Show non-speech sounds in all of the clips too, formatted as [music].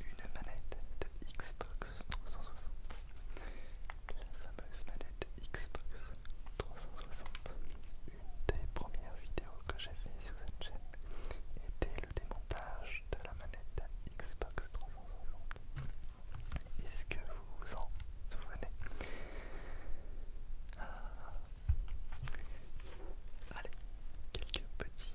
Une manette. Une manette de Xbox 360. La fameuse manette Xbox 360. Une des premières vidéos que j'ai fait sur cette chaîne était le démontage de la manette Xbox 360. Est-ce que vous vous en souvenez ah. Allez, quelques petits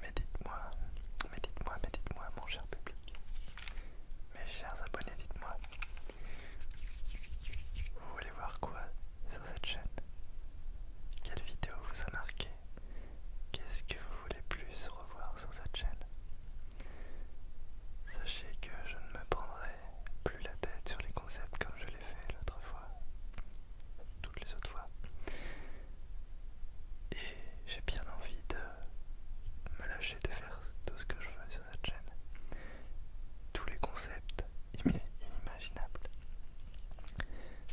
Mais dites-moi, mais dites-moi, mais dites-moi, mon cher public, mes chers abonnés, dites-moi, vous voulez voir quoi sur cette chaîne Quelle vidéo vous a marqué Qu'est-ce que vous voulez plus revoir sur cette chaîne Sachez que je ne me prendrai plus la tête sur les concepts comme je l'ai fait l'autre fois, toutes les autres fois. Et j'ai bien envie de me lâcher de faire tout ce que je veux sur cette chaîne. Tous les concepts [laughs] inimaginables.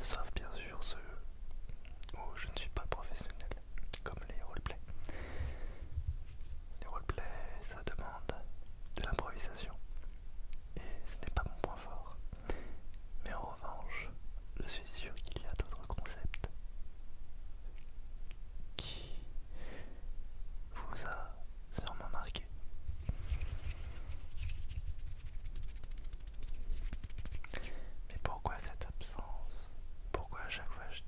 Sauf bien sûr ceux où je ne suis pas professionnel, comme les roleplays. Les roleplays, ça demande de l'improvisation. Et ce n'est pas mon point fort. Mais en revanche, je suis sûr qu'il y a d'autres concepts qui vous a sûrement marqué. Mais pourquoi cette absence Pourquoi à chaque fois je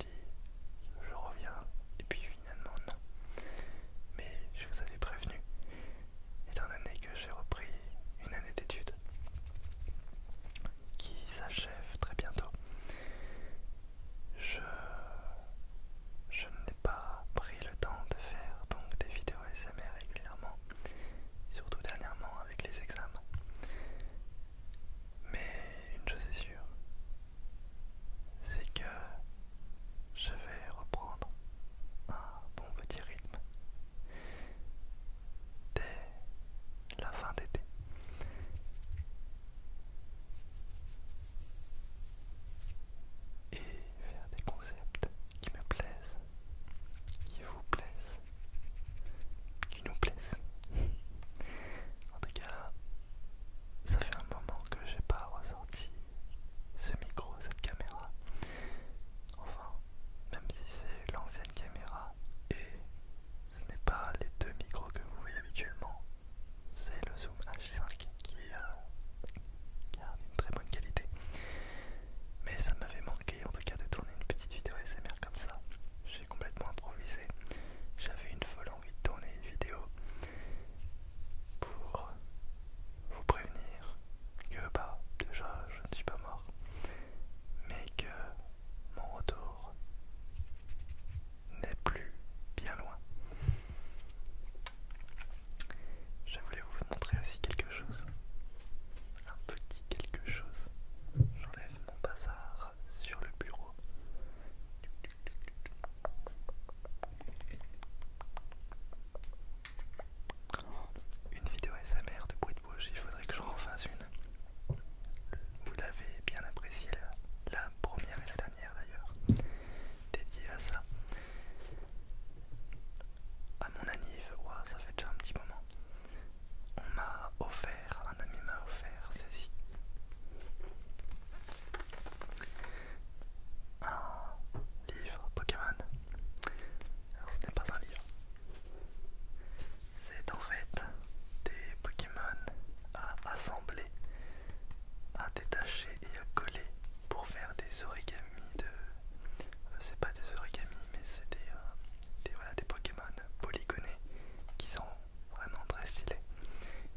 je reviens et puis finalement non. Mais je vous avais prévenu, étant donné que j'ai repris une année d'études qui s'achève très bientôt, je, je n'ai pas pris le temps de faire donc des vidéos SMR régulièrement, surtout dernièrement avec les examens. Mais une chose est sûre, c'est que je vais reprendre un bon petit rythme dès la fin d'été. Et faire des concepts qui me plaisent, qui vous plaisent, qui nous plaisent. [laughs] En tout cas là, ça fait un moment que j'ai pas ressorti ce micro, cette caméra. Enfin, même si c'est l'ancienne caméra et ce n'est pas les deux micros que vous voyez habituellement, c'est le Zoom H5 qui, a une très bonne qualité. Mais ça m'avait manqué en tout cas de tourner une petite vidéo SMR comme ça j'ai complètement improvisé. J'avais une folle envie de tourner une vidéo pour vous prévenir que bah déjà je ne suis pas mort, mais que mon retour n'est plus bien loin. Je voulais vous montrer aussi quelque chose. Un petit quelque chose. J'enlève mon bazar sur le bureau. Une vidéo SMR de bruit de bouche, il faudrait que je refasse une. Vous l'avez bien appréciée, la, première et la dernière d'ailleurs, dédiée à ça. À mon anniv, ça fait déjà un petit moment. On m'a offert un ami m'a offert ceci. Un livre Pokémon. Alors ce n'est pas un livre. C'est en fait des Pokémon à assembler, à détacher et à coller pour faire des origamis de... Euh, c'est pas des origamis mais c'est des, euh, des Pokémon polygonés qui sont vraiment très stylé.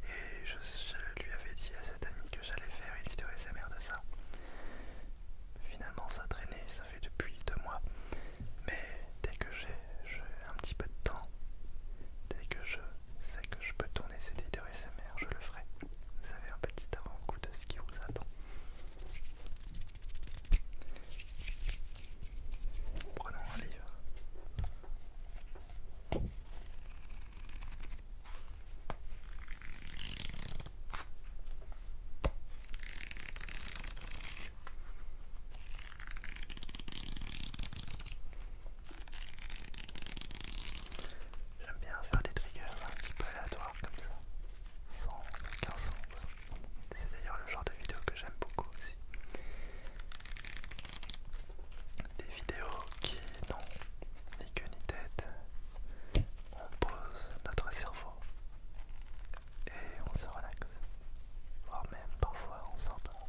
Et je, lui avais dit à cette amie que j'allais faire une vidéo SMR de ça. Finalement, ça traînait, ça fait depuis deux mois. Mais dès que j'ai un petit peu de temps, dès que je sais que je peux tourner cette vidéo SMR, je le ferai. Vous avez un petit avant-goût de ce qui vous attend. Prenons un livre. J'aime bien faire des triggers un petit peu aléatoires comme ça, sans aucun sens. C'est d'ailleurs le genre de vidéo que j'aime beaucoup aussi des vidéos qui n'ont ni queue ni tête. On pose notre cerveau et on se relaxe, voire même parfois on s'endort.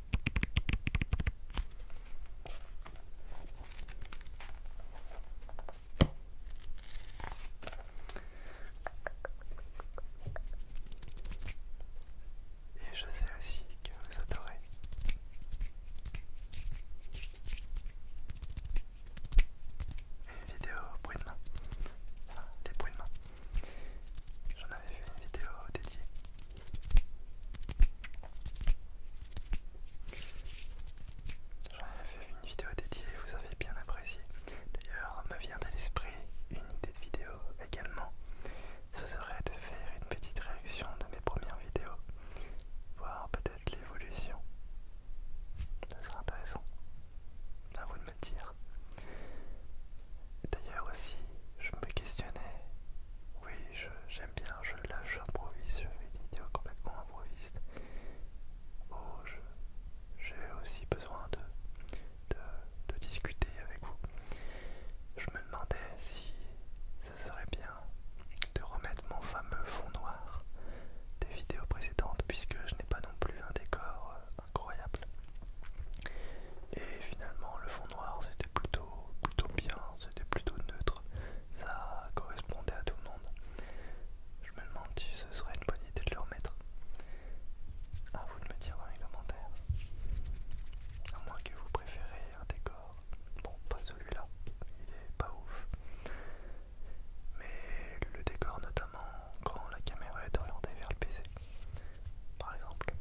Et je sais aussi que vous adorez. Une vidéo bruit de main. des bruits de main. J'en avais fait une vidéo dédiée. J'en avais vu une vidéo dédiée, vous avez bien apprécié. D'ailleurs, me vient à l'esprit une idée de vidéo également. Ce serait de faire une petite réaction de mes premières vidéos, voir peut-être l'évolution. Ça serait intéressant. À vous de me dire. D'ailleurs aussi, je me questionnais, oui j'aime bien, je lâche j'improvise, je fais des vidéos complètement improviste. Oh, j'ai aussi besoin de, de, discuter avec vous. Je me demandais si ce serait bien de remettre mon fameux fond noir des vidéos précédentes puisque je n'ai pas non plus un décor euh, incroyable. Et finalement le fond noir c'était c'était plutôt, plutôt bien, c'était plutôt neutre, ça correspondait à tout le monde. Je me demande si ce serait une bonne idée de le remettre. À vous de me dire dans les commentaires. À moins que vous préférez un décor. Bon, pas celui-là, il est pas ouf. Mais le décor notamment quand la caméra est orientée vers le PC par exemple.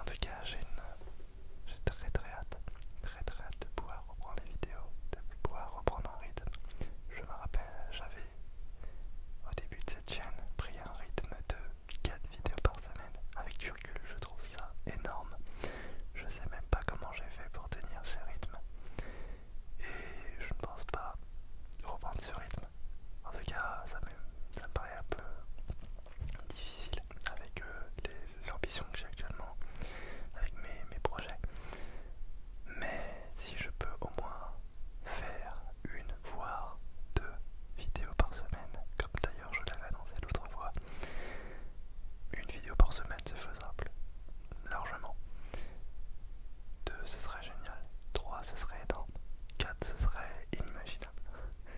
En tout cas, j'ai très très hâte, très très hâte de pouvoir reprendre les vidéos, de pouvoir reprendre un rythme. Je me rappelle, j'avais au début de chaîne pris un rythme de 4 vidéos par semaine. Avec du je trouve ça énorme. Je sais même pas comment j'ai fait pour tenir ce rythme. Et je ne pense pas reprendre ce rythme. En tout cas, ça me, paraît un peu difficile avec euh, l'ambition que j'ai actuellement, avec mes, mes projets. Mais si je peux au moins faire une voire deux vidéos par semaine, comme d'ailleurs je l'avais annoncé l'autre fois. Une vidéo par semaine, c'est faisable, largement. Deux, ce serait génial. Trois, ce serait énorme. Quatre, ce serait inimaginable.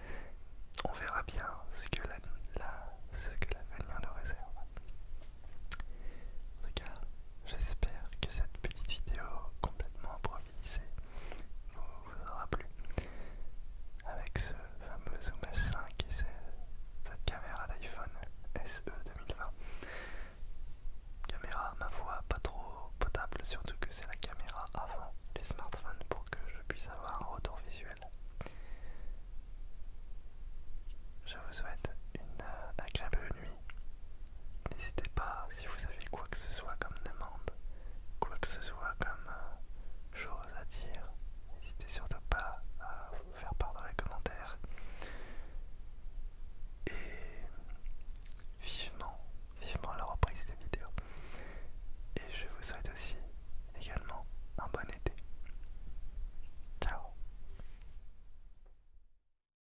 [laughs] On verra bien ce que la, la, ce que l'avenir nous réserve. En tout cas, J'espère que cette petite vidéo complètement improvisée vous, aura plu. Avec ce fameux Zoom H5 et cette, cette caméra d'iPhone SE 2020. Caméra, ma voix pas trop potable, surtout que c'est la caméra avant les smartphones pour que je puisse avoir un retour visuel. Je vous souhaite une euh, agréable nuit N'hésitez pas, si vous avez quoi que ce soit comme demande, quoi que ce soit comme euh, chose à dire, n'hésitez surtout pas à vous faire part dans les commentaires. Et vivement, vivement la reprise des vidéos. Et je vous souhaite aussi également un bon été. Ciao